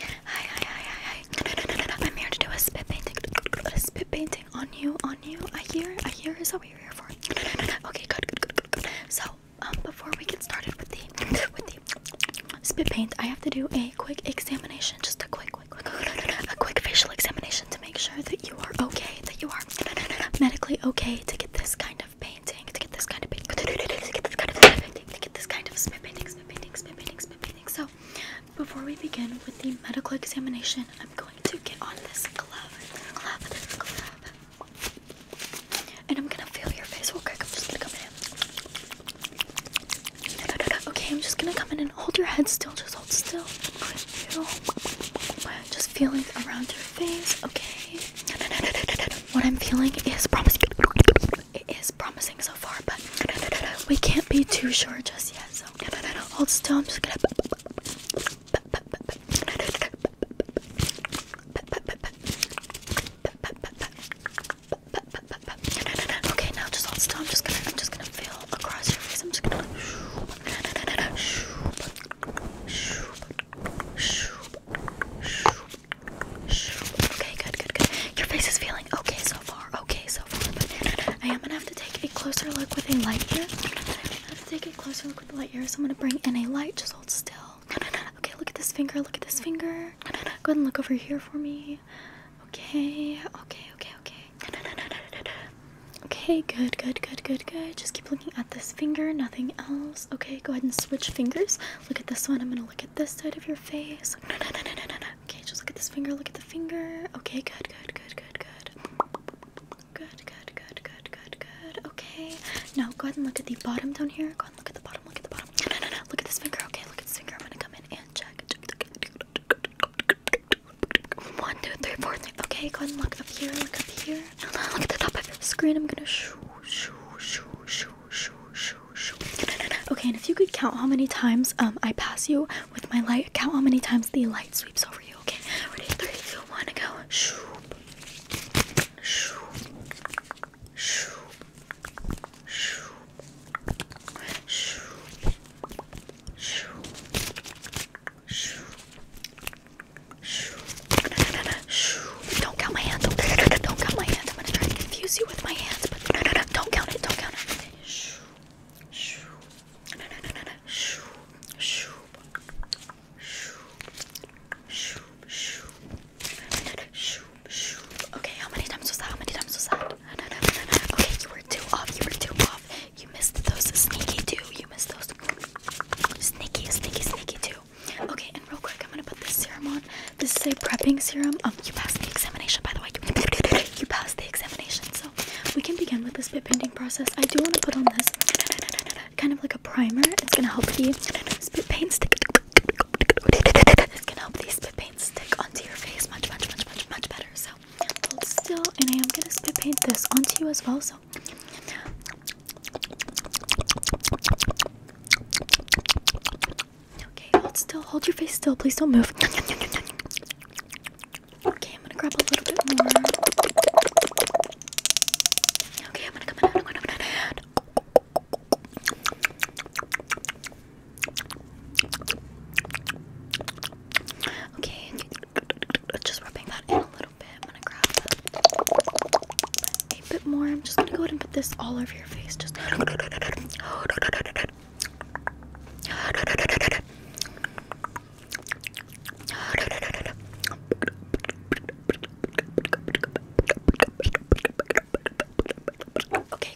Hi, hi, hi, hi, hi. I'm here to do a spit painting. A spit painting on you, on you. A year, a year is what we're here for. Okay, good, good, good, good, good. So, um, before we get started with the with the spit paint, I have to do a quick examination, just a quick, quick, quick, a quick facial examination to make sure that you are okay, that you are medically okay to get this kind of painting, to get this kind of painting, to get this kind of spit painting, to get this kind of spit painting. So, before we begin with the medical examination, I'm going to get on this glove, glove, glove, and I'm gonna feel your face real quick. I'm just gonna come in. Okay, I'm just gonna come in and hold your head still. Just hold still. Feel. Just feeling around your face. Okay. What I'm feeling is promise it is promising so far, but we can't be too sure just yet. So hold still. I'm just gonna. Okay, now just hold still. I'm just gonna. I'm just gonna feel across your face. I'm just gonna. Okay, good, good, good. Your face is feeling okay so far. Okay, so far. But I am gonna have to take a closer look with a light here. I'm have to take a closer look with the light here. So I'm gonna bring in a light. Just hold still. Okay, look at this finger. Look at this finger. Go ahead and look over here for me. Okay, okay, okay, okay. Okay, good, good, good, good, good. Just keep looking at this finger, nothing else. Okay, go ahead and switch fingers. Look at this one. I'm gonna gonna look at this side of your face. No, no, no, no, no, no, no. Okay, just look at this finger. Look at the finger. Okay, good, good, good, good, good. Good, good, good, good, good, good. Okay. Now go ahead and look at the bottom down here. Go ahead and look at the bottom. Look at the bottom. No, no, no, no. Look at this finger. Okay, look at this finger. I'm gonna come in and check. One, two, three, four. Three. Okay, go ahead and look up here. Look up here. Look at the top of your screen. I'm gonna shoo, shoo, shoo, shoo, shoo, shoo, shoo. Okay, and if you could count how many times um I pass you with my light, count how many times the light sweeps over you. Okay, ready? Three, two, one, go. Shoop, shoop, shoop, shoop, shoop, shoop, shoop, shoop, Shh, don't count my hand. Don't, don't count my hand. I'm gonna try to confuse you with my hands, but don't count it. Don't count it. Shh, shh, shh, shh, shh, shh, shh. Okay, how many times was that? How many times was that? Okay, you were two off. You were two off. You missed those sneaky two. You missed those sneaky, sneaky, sneaky two. Okay, and real quick, I'm gonna put this serum on. This is a prepping serum. Um, you passed the examination, by the way. You, passed the examination, so we can begin with this bit painting process. I do want to put on this kind of like a primer. It's gonna help the spit paint stick. It's gonna help the spit paint stick onto your face much, much, much, much, much better. So hold still, and I am gonna spit paint this onto you as well. So Okay, hold still. Hold your face still. Please don't move. Okay, I'm gonna grab a little bit more. Okay, I'm gonna come in. I'm gonna come in. Okay, just rubbing that in a little I'm a bit more. I'm just gonna go ahead and put this all over your face. Just Okay,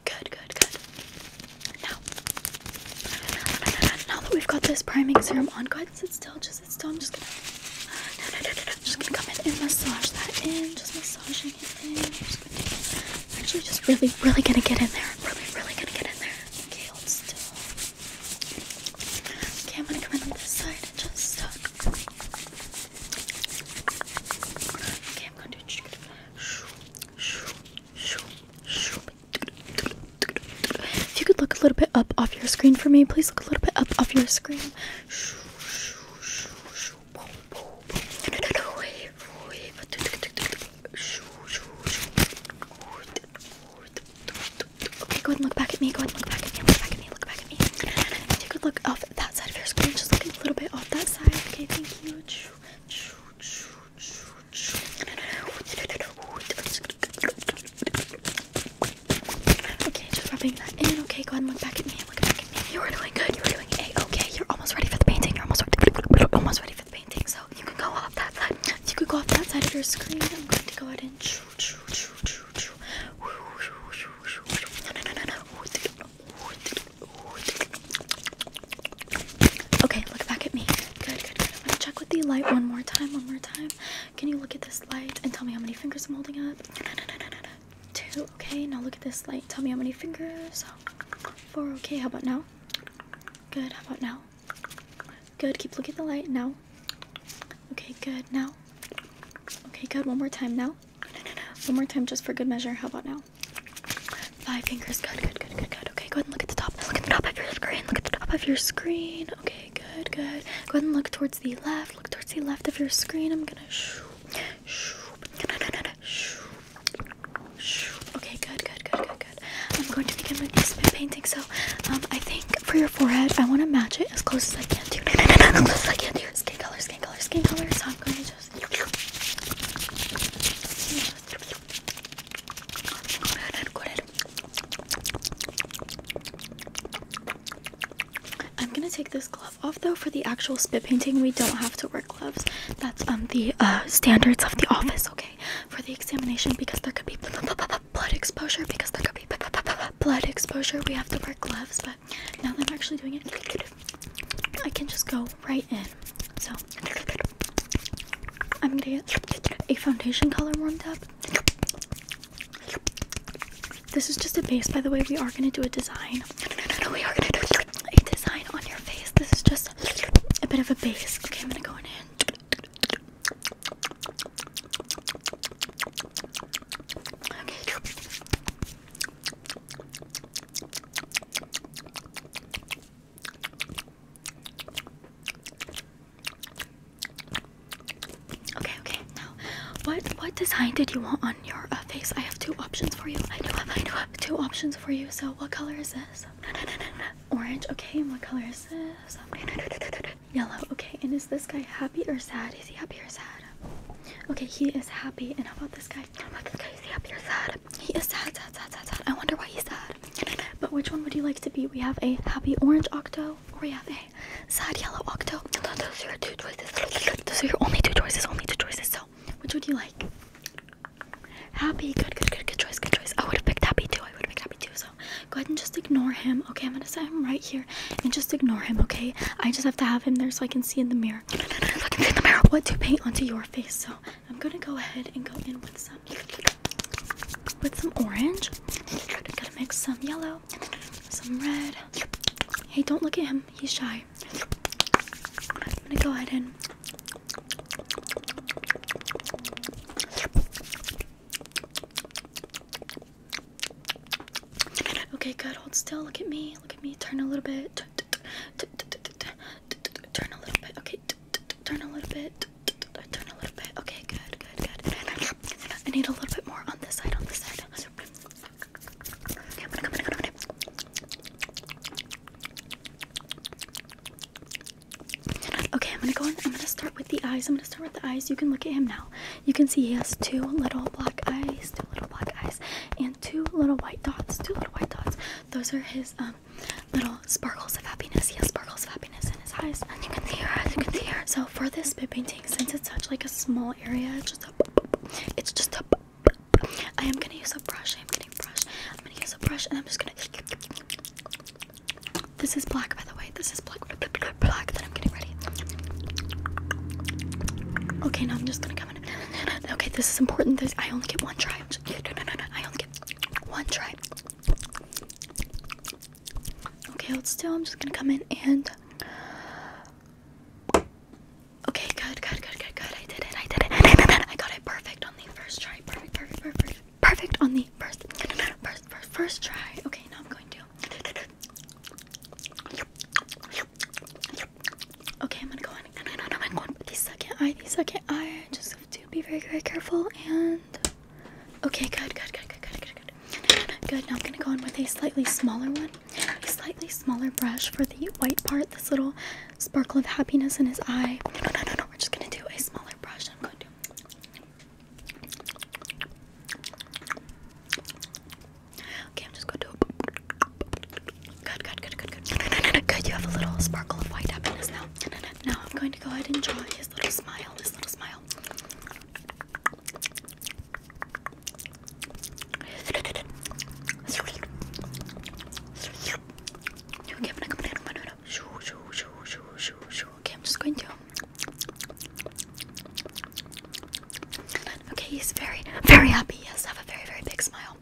good, good, good. Now, now that we've got this priming serum on, go sit still. Just because I'm just gonna, just gonna come in and massage that in, just massaging it in, just actually just really, really gonna get in there, I'm really, really gonna get in there, okay, hold still, okay, I'm gonna come in on this side and just, uh, okay, I'm gonna do, if you could look a little bit up off your screen for me, please look a little bit up off your screen them. Okay, go ahead and look back at me. Go ahead and look back at me. Look back at me. Look back at me. Take a look off that side of your screen. Just look a little bit off that side. Okay, thank you. Okay, just rubbing that in. Okay, go ahead and look back at me. Look back at me. You are doing good. You are doing a okay. You're almost ready for the painting. You're almost ready, for the painting. So you can go off that side. You could go off that side of your screen. I'm going to go ahead and choo choo choo choo choo. No no Okay, look back at me. Good, good, good. I'm gonna check with the light one more time. One more time. Can you look at this light and tell me how many fingers I'm holding up? Two. Okay, now look at this light. Tell me how many fingers. Four. Okay, how about now? Good. How about now? Good. Keep looking at the light now. Okay, good. Now. Okay, good. One more time now. One more time just for good measure. How about now? Five fingers. Good, good, good, good, good. Okay, go ahead and look at the top. Look at the top of your screen. Look at the top of your screen. Okay, Okay, good, good. Go ahead and look towards the left. Look towards the left of your screen. I'm gonna shoop, shoop, shoop, Okay, good, good, good, good, good. I'm going to begin with the spit painting. So, um, I think for your forehead, I want to match it as close as I can to as close as I can to skin color, skin color, skin color. So I'm going to just. Go ahead, I'm gonna take this glove off though for the actual spit painting. We don't have to wear gloves. That's um the uh, standards of the mm-hmm. office, okay? For the examination, because there could be blood exposure, because there could be blood exposure, we have to wear gloves. But now that I'm actually doing it, I can just go right in. So I'm gonna get a foundation color warmed up. This is just a base, by the way. We are gonna do a design. No, no, no, no, we are gonna do a design on your face. This is just a bit of a base. Okay, I'm gonna go in. Okay. Okay, okay. Now, what what design did you want on your uh, face? I have two options for you. I do have I do have two options for you. So, what color is this? Orange. Okay, and what color is this? Yellow. Okay, and is this guy happy or sad? Is he happy or sad? Okay, he is happy. And how about this guy? How about this guy? Is he happy or sad? He is sad, sad, sad, sad, sad. I wonder why he's sad. But which one would you like to be? We have a happy orange octo, or we have a sad yellow octo. Those are your two choices. Those are your only two choices. Only two choices. So, which would you like? Happy. Good. Good. Good. Good choice. Good choice. I would have picked happy too. I would have picked happy too. So, go ahead and just ignore him. Okay, I'm gonna set him right here and just ignore him. Okay, I just have to have him there so I can see in the mirror. I can see in the mirror what to paint onto your face. So, I'm gonna go ahead and go in with some with some orange. Gotta mix some yellow, some red. Hey, don't look at him. He's shy. I'm gonna go ahead and Okay, good. Hold still. Look at me. Look at me. Turn a little bit. Turn a little bit. Okay. Turn a little bit turn a little bit. Okay, good, good, good. I need a little bit more on this side, on this side. Okay, I'm gonna go in. I'm gonna start with the eyes. I'm gonna start with the eyes. You can look at him now. You can see he has two little black eyes, two little black eyes, and two little white dots. Two little white dots. Those are his um little sparkles of happiness. He sparkles of happiness in his eyes, and you can see her. As you can see her. So for this spit painting, since it's such like a small area, it's just a, it's just a. I am gonna use a brush. I am getting a brush. I'm gonna use a brush, and I'm just gonna. This is black, by the way. This is black. Black Then I'm getting ready. Okay, now I'm just gonna come in. Okay, this is important. This I only get one try. I only get one try. Okay, hold still. I'm just gonna come in and. Okay, good, good, good, good, good. I did it. I did it. I did it. I got it perfect on the first try. Perfect, perfect, perfect, perfect on the first, first, first, first try. Okay, now I'm going to. Okay, I'm gonna go on. No, no, no, I'm going. The second eye. The second eye. Just have to be very, very careful and okay, good, good, good, good, good, good, good. Good. Now I'm gonna go on with a slightly smaller one, a slightly smaller brush for the white part, this little sparkle of happiness in his eye. No, no, no, no, We're just gonna do a smaller brush. I'm going to do. Okay, I'm just going to Good, good, good, good, good. Good, you have a little sparkle of white happiness now. Now I'm going to go ahead and draw his little smile, his little smile. Okay, I'm just going to. Okay, he's very, very happy. Yes, have a very, very big smile.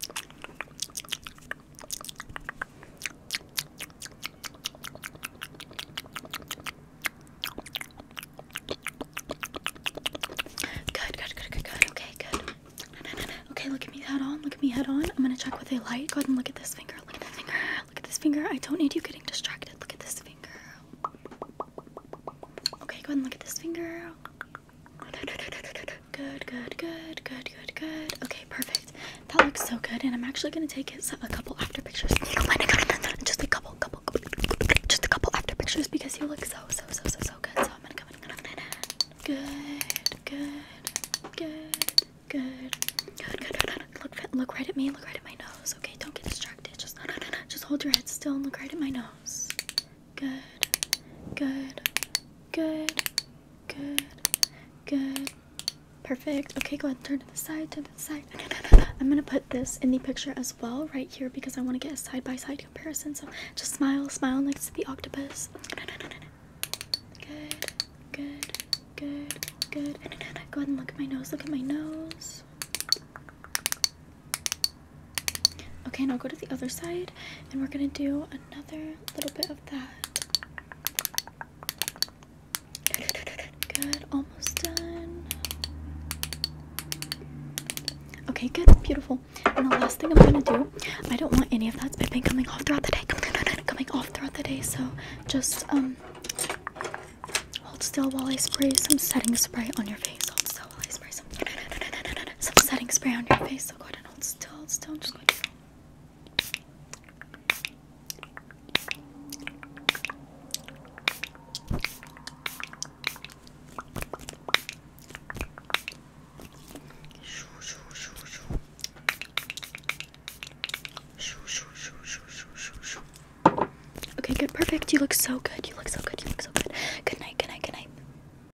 Good, good, good, good, good. Okay, good. No, no, no, no. Okay, look at me head on. Look at me head on. I'm gonna check with a light. Go ahead and look at this finger. Look at that finger. Look at this finger. I don't need you getting distracted. Look at this finger. Okay, go ahead and look at this finger. No, no, no, no, no, no, Good, good, good, good, good, good. Okay, perfect. That looks so good. And I'm actually gonna take a couple after pictures. Just a couple, couple, just a couple after pictures because you look so, so, so, so, so good. So I'm gonna come in. Good, good, good, good, good, good, good. Look, look right at me. Look right at my nose. Okay, don't get distracted. Just, just hold your head still and look right at my nose. Good, good, good, Good. Good. Perfect. Okay, go ahead. Turn to the side. Turn to the side. I'm going to put this in the picture as well right here because I want to get a side-by-side comparison. So just smile. Smile next to the octopus. Good. Good. Good. Good. Go ahead and look at my nose. Look at my nose. Okay, now go to the other side and we're going to do another little bit of Okay, good, beautiful. And the last thing I'm gonna do, I don't want any of that's it been coming off throughout the day, coming off throughout the day. So just um, hold still while I spray some setting spray on your face. Hold still while I spray some setting spray on your face. So good. Okay, good, perfect. You look so good. You look so good. You look so good. Good night, good night, good night.